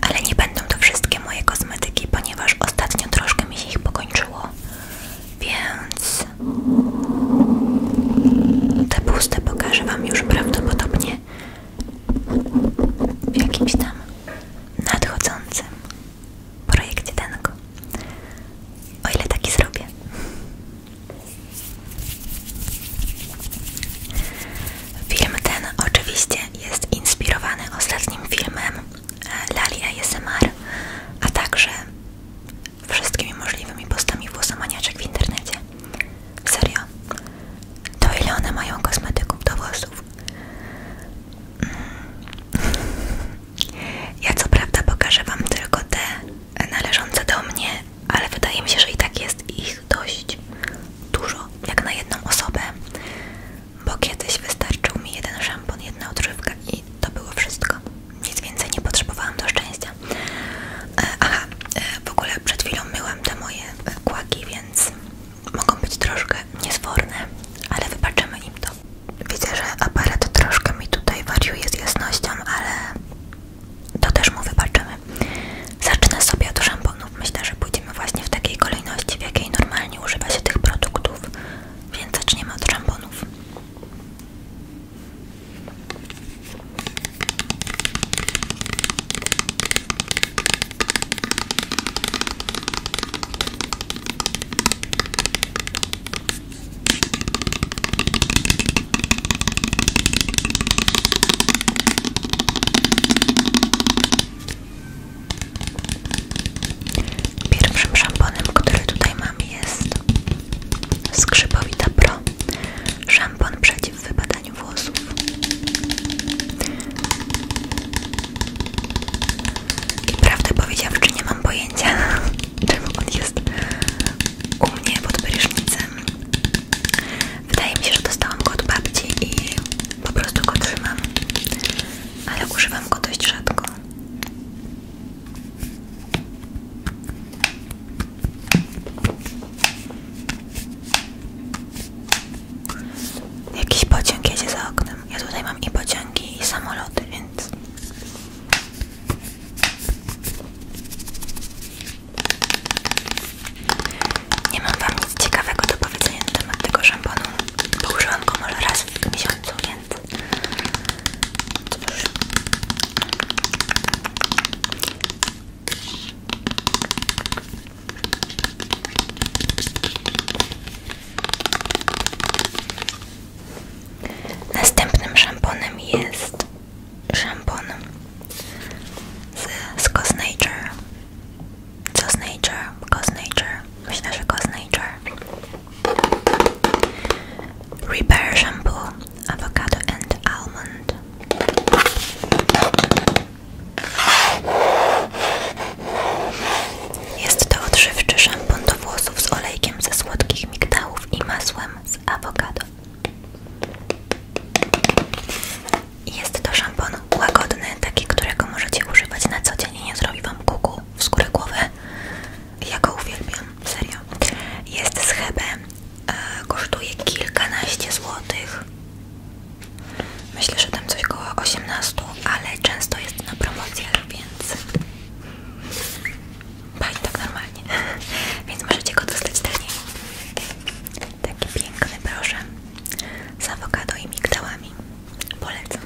Ale nie będą to wszystkie moje kosmetyki, ponieważ ostatnio troszkę mi się ich pokończyło. Więc te puste pokażę Wam już prawdopodobnie w jakimś tam nadchodzącym projekcie Denko. O ile taki zrobię. Film ten oczywiście jest inspirowany ostatnim filmem e, Lali ASMR, a także wszystkimi możliwymi postami włosomaniaczek w internecie. Serio? To ile one mają kosmetyków do włosów? Mm. Ja co prawda pokażę Wam tylko te należące do mnie, ale wydaje mi się, że i tak jest ich dość dużo, jak na jedną osobę, bo kiedyś wystarczył mi jeden szampon, jedna odżywka i to było wszystko. Nic więcej nie potrzebowałam do szczęścia. E, aha, e, w ogóle przed chwilą myłam te moje e, kłaki, więc mogą być troszkę niezworne, ale wybaczymy im to. Widzę, że aparat troszkę mi tutaj wariuje z jasnością, ale to też mu wybaczymy. Zacznę sobie od szamponów. Myślę, że pójdziemy właśnie w takiej kolejności, w jakiej normalnie używa się tych produktów, więc zaczniemy od szamponów. Pierwszym szamponem, który tutaj mam jest Skrzypowita Pro Szampon przeciw wypadaniu włosów I prawdę powiedziawczy nie mam pojęcia tylko on jest u mnie pod prysznicem Wydaje mi się, że dostałam go od babci i po prostu go trzymam, ale używam go dość rzadko. Jakiś pociąg jedzie za oknem. Ja tutaj mam i pociągi, i samoloty, więc. Nie mam wam nic ciekawego do powiedzenia na temat tego szamponu, bo użyłam go może raz w miesiącu, więc Następnym szamponem jest szampon z, z Nature. Co z Nature? Go z Nature. Myślę, że go z Nature. Repair Shampoo Avocado and Almond. Jest to odżywczy szampon do włosów z olejkiem ze słodkich migdałów i masłem z awokado. Jest to szampon łagodny, taki, którego możecie używać na co dzień i nie zrobi wam kuku w skórę głowy. Ja go uwielbiam, serio. Jest z Hebe, e, kosztuje kilkanaście złotych. Myślę, że tam coś około osiemnastu, ale często jest na promocjach, więc pani tak normalnie. więc możecie go dostać taniej. Taki piękny proszę z awokado i migdałami. Polecam.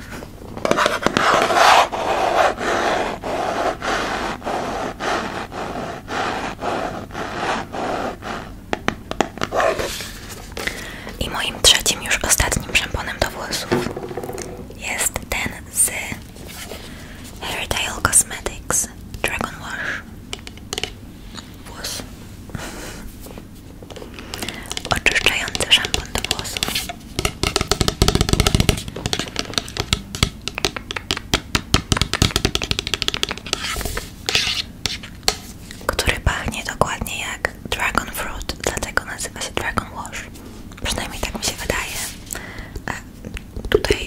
I moim trzecim, już ostatnim szamponem do włosów jest ten z Hairtile Cosmetics Dragon Wash. Włos. Oczyszczający szampon do włosów. Który pachnie dokładnie jak Dragon Fruit, dlatego nazywa się Dragon Wash. Przynajmniej tak mi się wydaje. A e, tutaj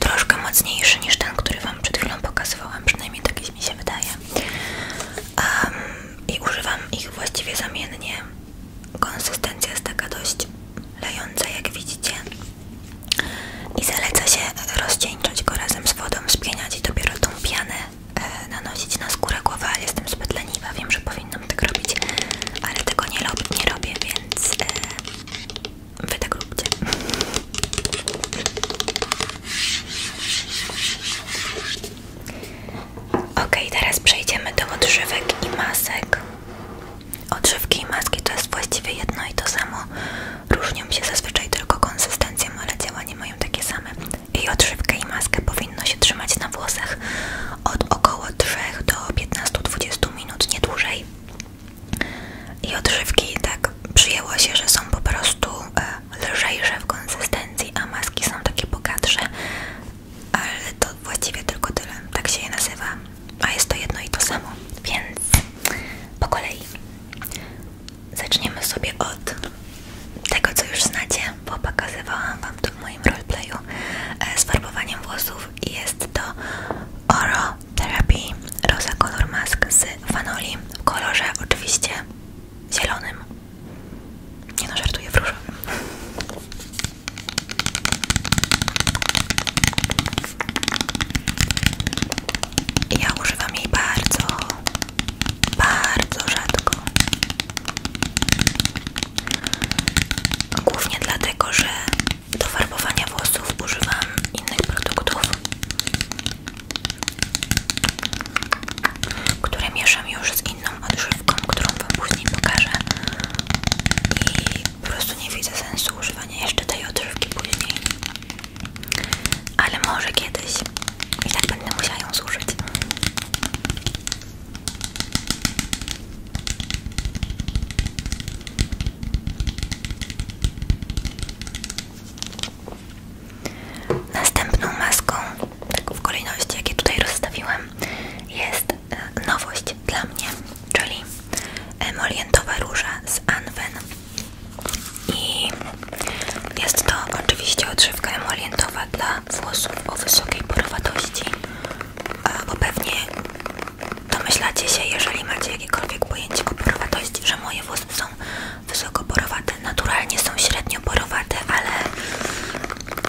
troszkę mocniejszy niż ten, który Wam przed chwilą pokazywałam, przynajmniej taki mi się wydaje. Um, I używam ich właściwie zamiennie. Konsystencja jest taka dość lejąca, jak widzicie. I zaleca się rozcieńczać go razem z wodą, spieniać i dopiero tą pianę e, nanosić na skórę głowy, ale jestem zbyt leniwa, wiem, że powinnam tak robić, ale tego nie, nie robię, więc e, Wy tak Ok, teraz przejdziemy do odżywek i masek. Odżywki i maski to jest właściwie jedno i to samo. Różnią się zazwyczaj tylko konsystencją, ale działanie mają takie same. I odżywkę i maskę powinno się trzymać na włosach od około 3 do 15-20 minut, nie dłużej. I odżywki tak przyjęło się, że są po prostu e, lżejsze w konsystencji, a maski są takie bogatsze, ale to właściwie tylko tyle. Tak się je nazywa, a jest to jedno i to samo. Więc po kolei zaczniemy sobie od tego, co już znacie, bo pokazywałam Wam to w moim roleplayu. E, z farbowaniem włosów i jest to Oro Therapy Rosa Color Mask z Fanoli w kolorze oczywiście zielonym. Nie no, żartuję w różowym. Ja używam jej bardzo, bardzo rzadko. Głównie dlatego, że do farbowania włosów używam innych produktów które mieszam już z inną odżywką, którą Wam później pokażę i po prostu nie widzę sensu używania jeszcze tej odżywki później ale może kiedyś i tak będę musiała ją zużyć Następną maską, w kolejności jakie tutaj rozstawiłem, jest e, nowość dla mnie, czyli emolientowa róża z Anwen. I jest to oczywiście odżywka emolientowa dla włosów o wysokiej porowatości, e, bo pewnie domyślacie się, jeżeli macie jakiekolwiek pojęcie o porowatości, że moje włosy są wysoko porowate. Naturalnie są średnio porowate, ale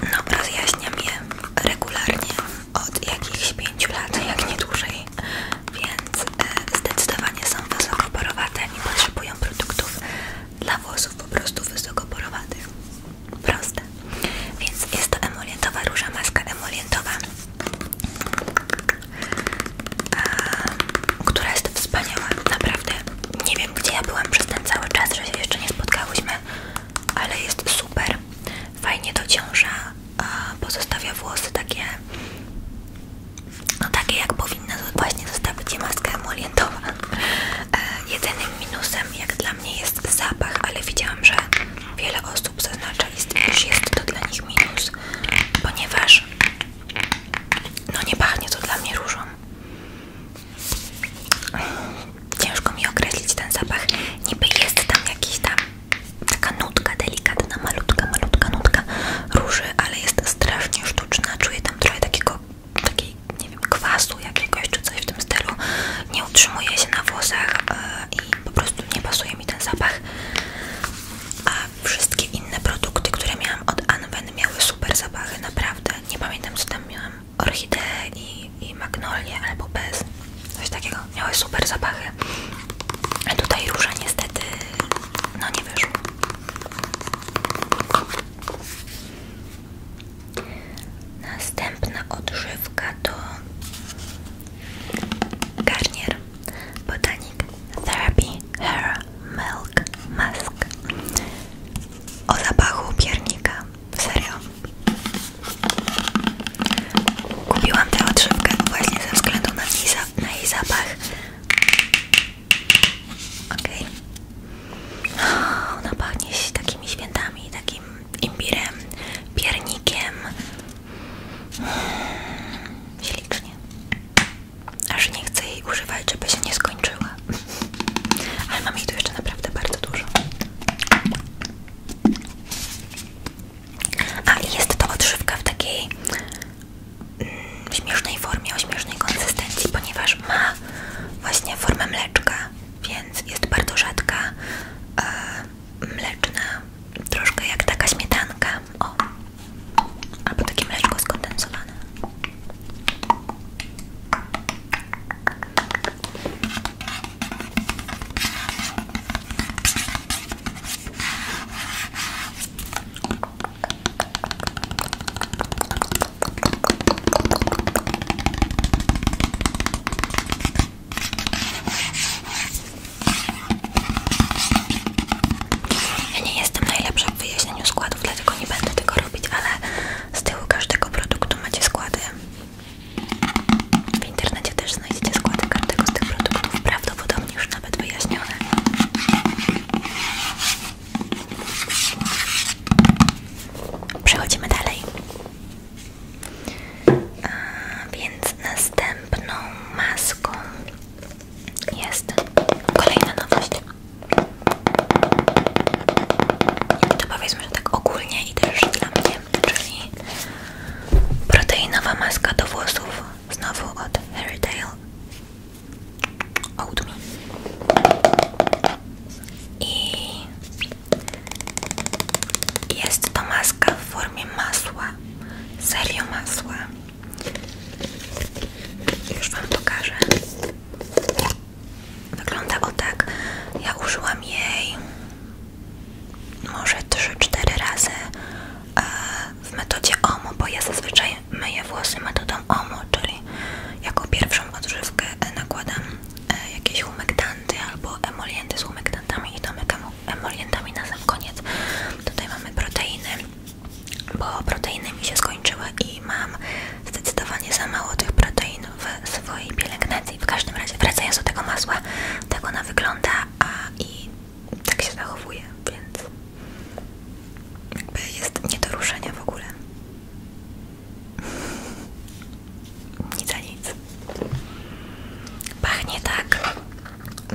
no, rozjaśniam je regularnie od jakichś pięciu lat, jak nie dłużej. Więc e, zdecydowanie są wysoko porowate i potrzebują produktów dla włosów po prostu wysoko porowatych. Proste. Więc jest to emolientowa róża, maska emolientowa. E, która jest wspaniała, naprawdę nie wiem gdzie ja byłam przez ten cały czas, że się jeszcze nie spotkałyśmy, ale jest super, fajnie dociąża, pozostawia włosy takie, no takie jak powinna właśnie zostawić je maska emolientowa. E, Jedynym minusem jak dla mnie jest zapach, ale widziałam, że wiele osób zaznacza, iż jest to dla nich minus, ponieważ no nie pachnie to dla mnie różą. Ciężko mi określić ten zapach. Niby jest tam jakiś tam taka nutka delikatna, malutka, malutka nutka róży, ale jest strasznie sztuczna. Czuję tam trochę takiego, takiej, nie wiem, kwasu jakiegoś czy coś w tym stylu. Nie utrzymuje się na włosach e, i po prostu nie pasuje mi ten zapach. A wszystkie inne produkty, które miałam od Anwen miały super zapachy, naprawdę. Nie pamiętam co tam miałam. orchidee i, i magnolie albo bez. Coś takiego. Miały super zapachy. A tutaj róża niestety no nie wyszło. Następna odżywka to Garnier Botanic Therapy Hair Milk Musk o zapachu piernika, serio kupiłam tę odżywkę właśnie ze względu na, jej, na jej zapach Ok. ona pachnie się takimi świętami, takim imbirem, piernikiem hmm, ślicznie aż nie chcę jej używać, żeby się nie skończyła. Ale mam ich tu jeszcze naprawdę bardzo dużo. A jest to odżywka w takiej mm, śmiesznej formie, o śmiesznej konsystencji, ponieważ ma właśnie formę mleczka, więc jest bardzo rzadka, e, mleczna, troszkę jak taka śmietanka. Albo takie mleczko skondensowane. Ja nie jestem najlepsza w wyjaśnieniu składów składów, dlatego nie będę tego robić, ale z tyłu każdego produktu macie składy. W internecie też znajdziecie składy każdego z tych produktów, prawdopodobnie już nawet wyjaśnione. Przechodzimy dalej. A, więc następną maską jest kolejna nowość. To powiedzmy, tak ogólnie i też dla mnie, czyli proteinowa maska do włosów, znowu od Hairdale oud Me. I jest to maska w formie masła, serio masła. Już Wam pokażę. Wyglądało tak. Ja użyłam jej może 3-4 razy e, w metodzie OMO, bo ja zazwyczaj myję włosy metodą OMO, czyli jako pierwszą odżywkę e, nakładam e, jakieś humektanty albo emolienty z humektantami i domykam emolientami na sam koniec. Tutaj mamy proteiny bo proteiny mi się skończyły i mam zdecydowanie za mało tych protein w swojej pielęgnacji. W każdym razie wracając do tego masła, tak ona wygląda a i tak się zachowuje, więc jakby jest nie do ruszenia w ogóle. Nic za nic. Pachnie tak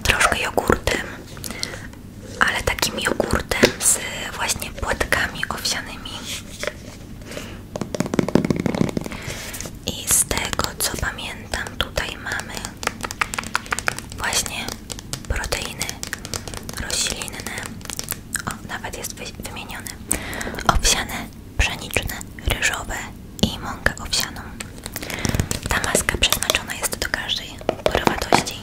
troszkę jogurtem, ale takim jogurtem z właśnie płatkami owsianymi. I z tego co pamiętam, tutaj mamy właśnie proteiny roślinne, o, nawet jest wymienione, owsiane, pszeniczne, ryżowe i mąkę owsianą. Ta maska przeznaczona jest do każdej porywatości.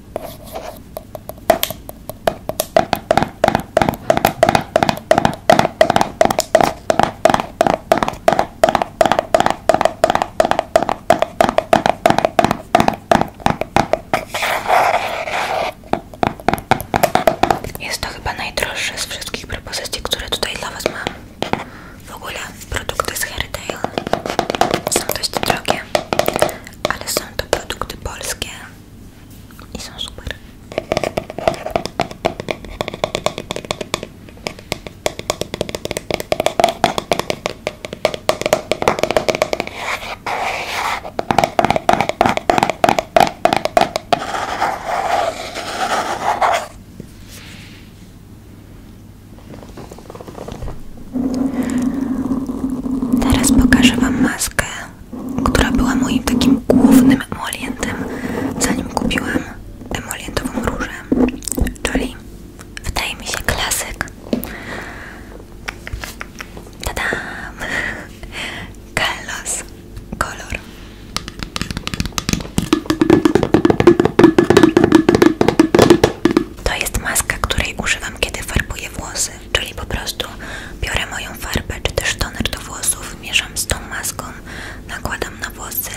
Jest to chyba najdroższe z wszystkich propozycji, które tutaj dla Was mam. W ogóle produkty z Hairytale są dość drogie, ale są to produkty polskie Teraz pokażę Wam maskę która była moim takim głównym emolientem, zanim kupiłam emolientową różę, czyli wydaje mi się klasyk. Tadam! Kalos kolor. To jest maska, której używam, kiedy farbuję włosy czyli po prostu biorę moją farbę czy też toner do włosów, mieszam z tą maską, nakładam na włosy,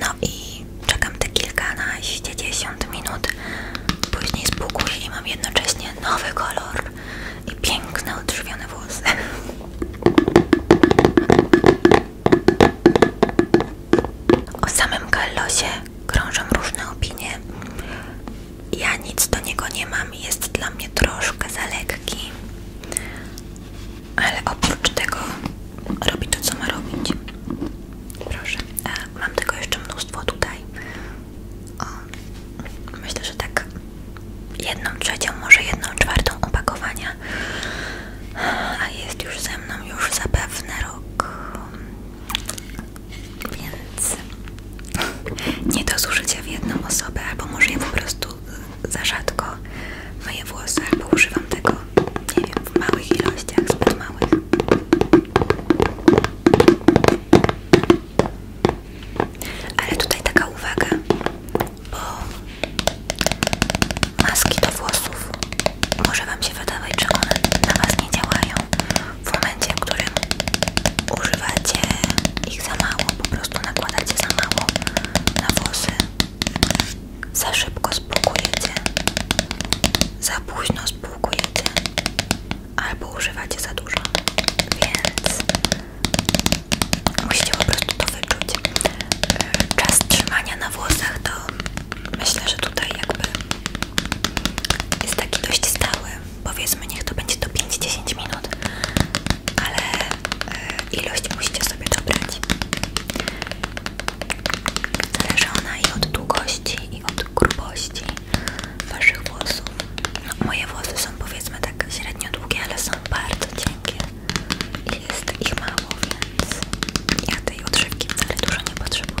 no i czekam te kilkanaście, dziesiąt minut, później z spłukuję i mam jednocześnie nowy kolor i piękne, odżywione włosy. O samym Kallosie krążą różne opinie. Ja nic do niego nie mam, jest dla mnie troszkę za lekki, ale oprócz tego robi to, co ma robić. Proszę, A e, mam tego jeszcze mnóstwo tutaj. myślę, że tak jedną trzecią, może jedną czwartą opakowania. A jest już ze mną już zapewne rok więc nie do zużycia w jedną osobę, albo może nie po prostu za rzadko moje włosy, albo używam tego, nie wiem, w małych ilościach, zbyt małych. Ale tutaj taka uwaga, bo maski do włosów może Wam się wydawać, że one na Was nie działają, w momencie, w którym używacie ich za mało, po prostu nakładacie za mało na włosy, za szybko spłukujecie, za późno spłukujecie albo używacie za dużo, więc musi musicie po prostu to wyczuć. Czas trzymania na włosach to myślę, że tutaj jakby jest taki dość stały, powiedzmy niech to będzie to 5-10 minut, ale e, ilość musicie sobie dobrać. Zależy ona i od długości, i od grubości waszych włosów. No, moje włosy są powiedzmy tak średnio długie, ale są bardzo cienkie i jest ich mało, więc ja tej odżywki wcale dużo nie potrzebuję.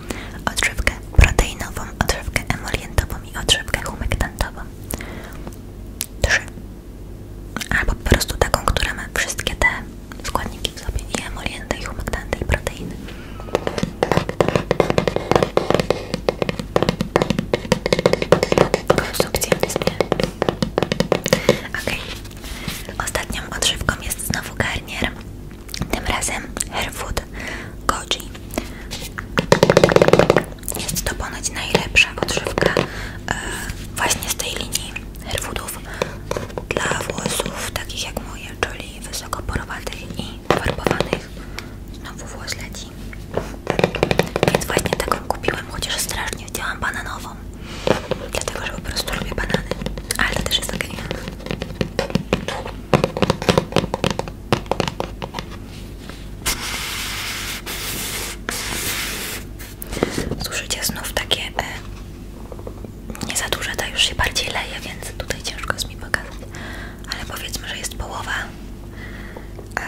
odżywkę proteinową, odżywkę emolientową i odżywkę humektantową. Trzy. Albo po prostu taką, która ma wszystkie te składniki w sobie, i emolienty, i humektanty, i proteiny. Konstrukcja. w Okej. Okay. Ostatnią odżywką jest znowu garnier tym razem Hairfood Goji. Jest to ponoć najlepsza odżywka e, właśnie z tej linii Hairfoodów dla włosów takich jak moje, czyli wysoko porowatych i farbowanych. Znowu włos leci. Więc właśnie taką kupiłam, chociaż strasznie chciałam bananową. Dlatego, że po prostu lubię banany. Ale to też jest ok. Słyszycie znów takie e, nie za duże, ta już się bardziej leje, więc tutaj ciężko jest mi pokazać, ale powiedzmy, że jest połowa. E,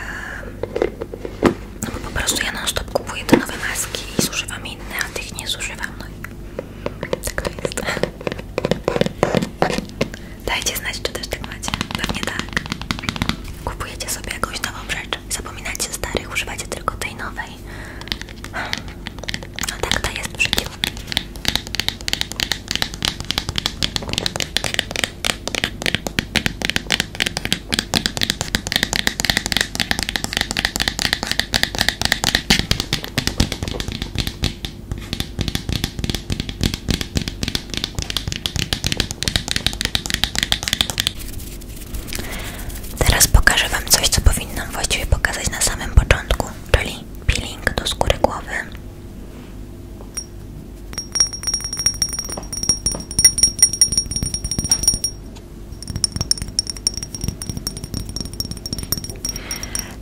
no bo po prostu ja na stop kupuję te nowe maski i zużywam inne, a tych nie zużywam. No tak to Dajcie znać, czy też tak macie. Pewnie tak. Kupujecie sobie jakąś nową rzecz. Zapominacie starych, używacie tylko tej nowej. No tak to jest przy Teraz pokażę Wam coś, co powinnam właściwie pokazać na samym początku, czyli peeling do skóry głowy.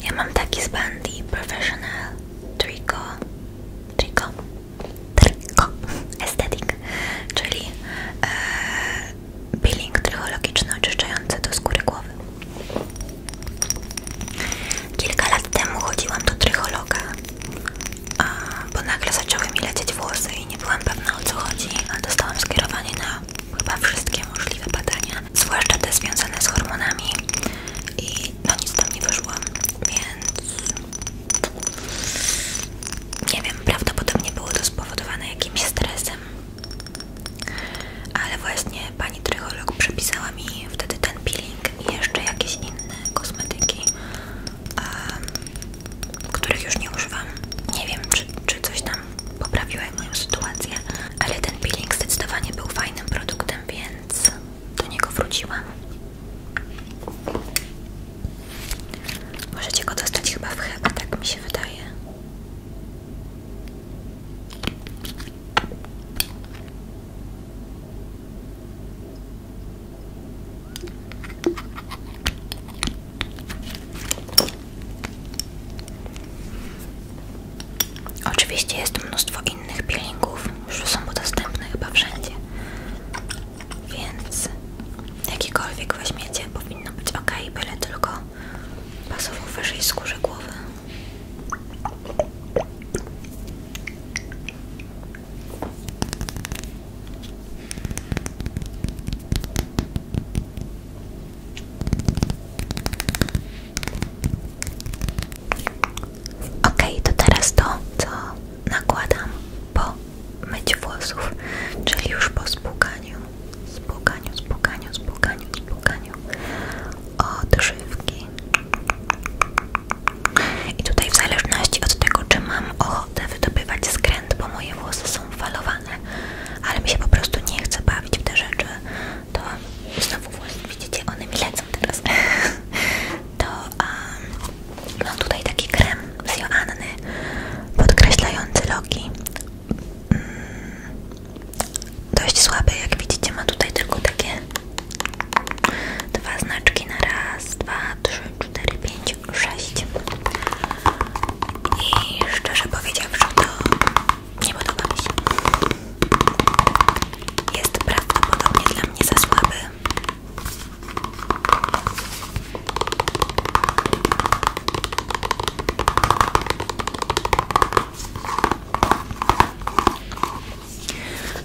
Ja mam taki z Bandy Professional Trico Trico Trico Aesthetic, czyli e, peeling trychologiczny oczyszczający do skóry głowy. Kilka lat temu chodziłam do trychologa, a, bo nagle zaczęły mi lecieć włosy i nie byłam pewna o co chodzi, a dostałam skierowanie na chyba wszystkie możliwe badania zwłaszcza te związane z hormonami i no nic tam nie wyszło, więc nie wiem, prawdopodobnie było to spowodowane jakimś stresem ale właśnie pani trycholog przepisała mi wtedy ten peeling i jeszcze jakieś inne kosmetyki których już nie używam nie wiem, czy, czy coś tam poprawiło moją sytuację ale ten peeling zdecydowanie był fajnym produktem, więc do niego wróciłam. Możecie go dostać chyba w Heba, tak mi się wydaje. Oczywiście jest mnóstwo innych peelingów, już są dostępne chyba wszędzie, więc jakikolwiek weźmiecie powinno być ok, byle tylko pasował wyżej skórze głowy. Ok, to teraz to, co nakładam po myciu włosów, czyli już po spłukaniu, spłukaniu, spłukaniu, spłukaniu, spłukaniu odżywki. I tutaj w zależności od tego, czy mam ochotę wydobywać skręt, bo moje włosy są falowane, ale mi się po prostu nie chce bawić w te rzeczy, to znowu włosy, widzicie, one mi lecą teraz, to um, mam tutaj taki krem z Joanny podkreślający loki. Mm, dość słabe jak widzicie, ma tutaj tylko takie dwa znaczki na raz, dwa, trzy, cztery, pięć, sześć. I szczerze powiedziawszy, to nie podoba mi się. Jest prawdopodobnie dla mnie za słaby.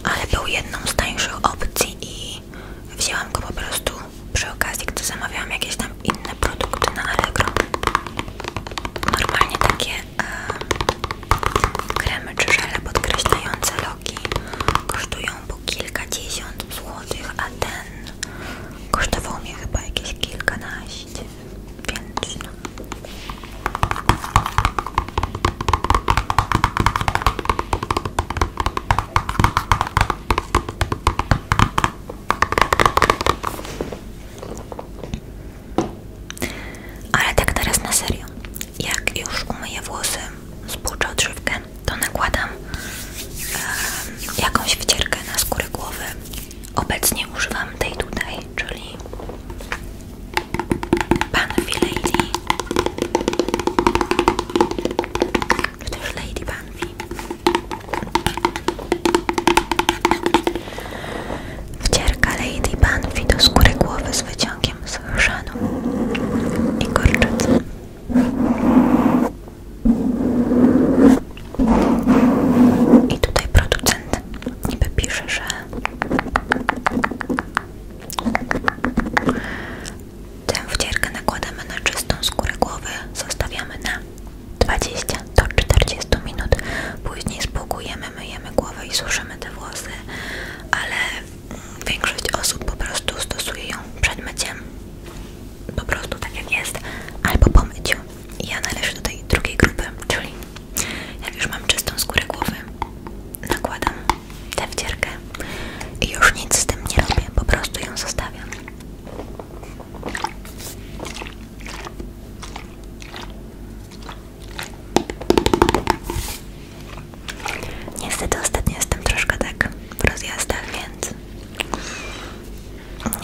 Ale był jedną z tańszych opcji i wzięłam go po prostu przy okazji, gdy zamawiałam jakieś tam inne produkty na Allegro normalnie takie e, kremy czy żele podkreślające loki kosztują po kilkadziesiąt złotych, a ten kosztował mi chyba jakieś kilkanaście, więc no. Ale tak teraz na serio, jak już umyję włosy, spłuczę odżywkę, to nakładam jakąś wycierkę na skórę głowy. Obecnie używam tej tutaj, czyli Pan Fi Lady, czy też Lady Pan Fi. Wcierka Lady Banfi do skóry głowy z wyciągiem z chrzanu i gorczycy. I tutaj producent niby pisze, że tę wcierkę nakładamy na czystą skórę głowy, zostawiamy na 20 do 40 minut, później spłukujemy my myjemy głowę i suszymy te włosy, ale większość osób po prostu stosuje ją przed myciem, po prostu tak jak jest, albo po myciu. I ja należę do tej drugiej grupy, czyli jak już mam czystą skórę głowy, nakładam tę wcierkę i już nic z tym nie robię, po prostu ją zostawiam. Niestety ostatnio jestem troszkę tak w rozjazdach, więc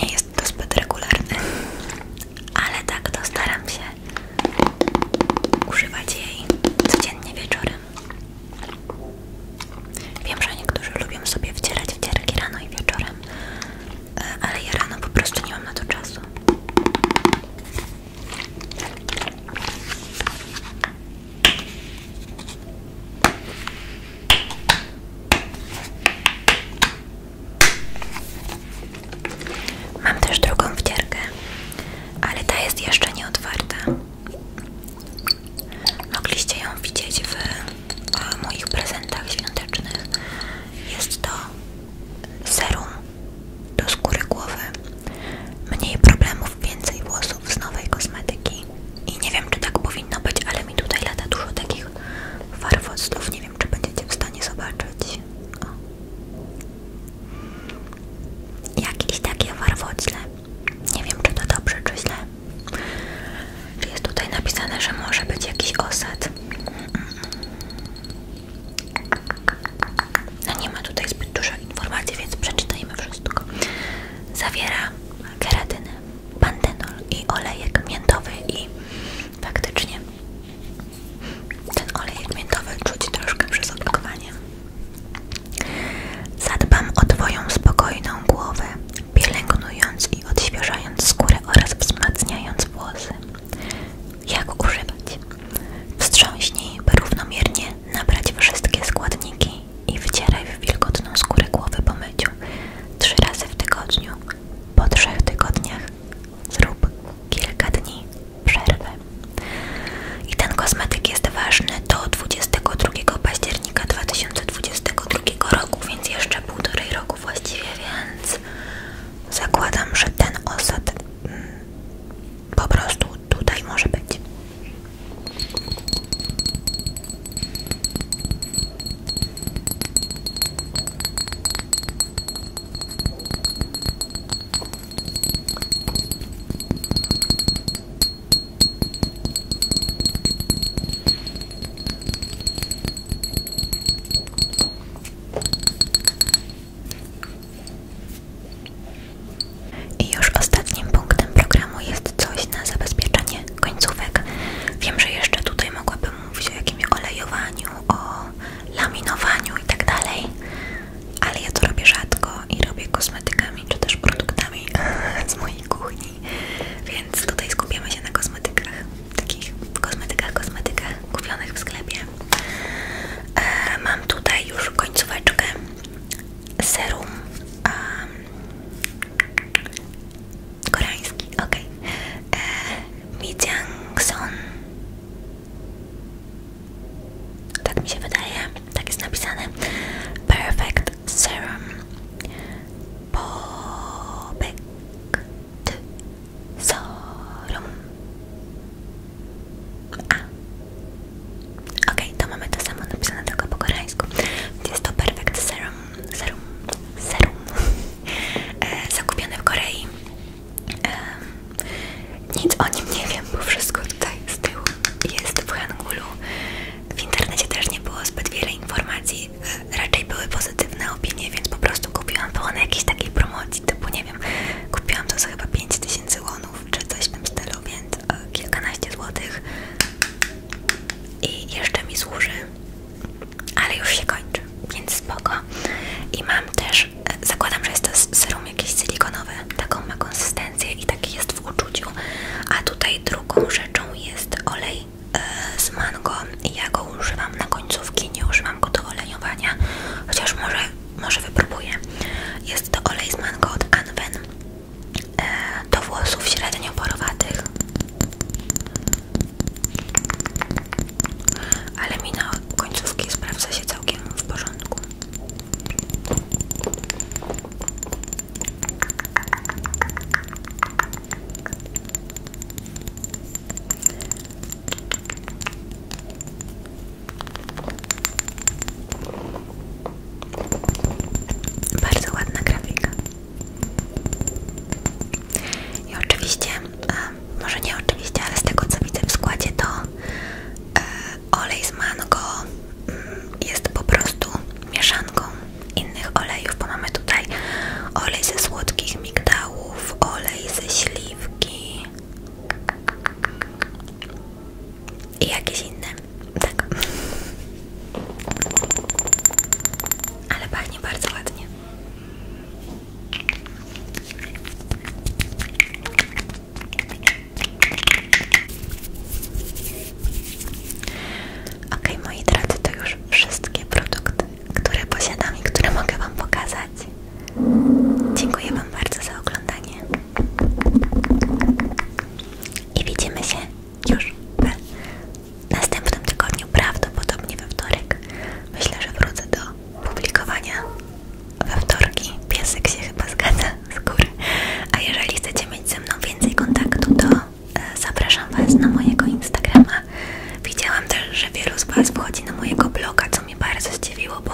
nie jest to zbyt regularne, ale tak to staram się używać jej codziennie wieczorem. Wiem, że niektórzy lubią sobie wcierać wcierki rano i wieczorem, e, ale ja rano po prostu nie mam na to czasu. Mam też drugą wcierkę, ale ta jest jeszcze nie otwarta. Mogliście ją widzieć w, w moich prezentach świątecznych. Jest to serum do skóry głowy. Mniej problemów, więcej włosów z nowej kosmetyki. I nie wiem, czy tak powinno być, ale mi tutaj lata dużo takich farfoców. Nie wiem, czy będziecie w stanie zobaczyć. Jakieś takie warwocle. Nie wiem, czy to dobrze, czy źle. Czy jest tutaj napisane, że może być jakiś osad? No nie ma tutaj zbyt dużo informacji, więc przeczytajmy wszystko. Zawiera keratynę, pantenol i olejek miętowy i faktycznie ten olejek miętowy czuć troszkę przez opakowanie. Zadbam o Twoją spokojną głowę, pielęgnując i odświeżając skórę oraz wzmacniając włosy. Jak używać? Wstrząśnij, by równomiernie nabrać wszystkie składniki i wcieraj w wilgotną skórę głowy po myciu. Trzy razy w tygodniu. Po trzech tygodniach zrób kilka dni przerwy. I ten kosmetyk jest ważny do 22 października 2022 roku, więc jeszcze półtorej roku właściwie, więc Zakładam, że ten osad mm, po prostu tutaj może być. I już ostatnim punktem programu jest coś na zabezpieczenie końcówek. Wiem, że jeszcze tutaj mogłabym mówić o jakimś olejowaniu, o laminowaniu i tak dalej, ale ja to robię rzadko i robię kosmetykami czy też produktami z mojej kuchni, więc tutaj skupiamy się na kosmetykach, takich kosmetykach, kosmetykach kupionych w sklepie. E, mam tutaj już końcóweczkę serum um, koreański, ok. E, Mi Son. Tak mi się wydaje, tak jest napisane. Perfect Serum. Bobek. Serum. A. Okej, okay, to mamy to samo napisane tylko po koreańsku. Jest to Perfect Serum. Serum. Serum. E, zakupione w Korei. E, nic o nim nie wiem, bo wszystko tutaj z tyłu jest w Hangulu. W internecie też nie było zbyt wiele informacji. E, raczej były pozytywne opinie, więc po prostu kupiłam. Było na jakiejś takiej promocji typu nie wiem, kupiłam to za chyba 5000 łonów czy coś w tym stylu, więc e, kilkanaście złotych i jeszcze mi służy, ale już się kończy, więc spoko. I mam też, e, zakładam, że jest to serum jakieś silikonowe, taką ma konsystencję i taki jest w uczuciu, a tutaj drugą rzeczą jest olej e, z mango ja go używam na końcówki, nie używam go do olejowania, chociaż może może wypróbuję. Jest to olej z mango od Anwen e, do włosów średnio porowatych. Ale mina na końcówki sprawdza się całkiem w porządku. Bardzo ładna grafika. I oczywiście, może nie oczywiście, ale z tego co widzę w składzie, to e, olej z mango mm, jest po prostu mieszanką innych olejów, bo mamy tutaj olej ze słodkich migdałów, olej ze śliwki, i jakieś inne, tak. Ale bardzo ładnie. Ok, moi drodzy, to już wszystkie produkty, które posiadam i które mogę Wam pokazać. Dziękuję Wam bardzo za oglądanie. I widzimy się już w następnym tygodniu, prawdopodobnie we wtorek. Myślę, że wrócę do publikowania we wtorki. Piesek się chyba zgadza z góry. A jeżeli chcecie mieć ze mną więcej kontaktu, to e, zapraszam Was na mojego Instagrama. Widziałam też, że wielu z Was wchodzi na mojego bloga, co mnie bardzo zdziwiło, bo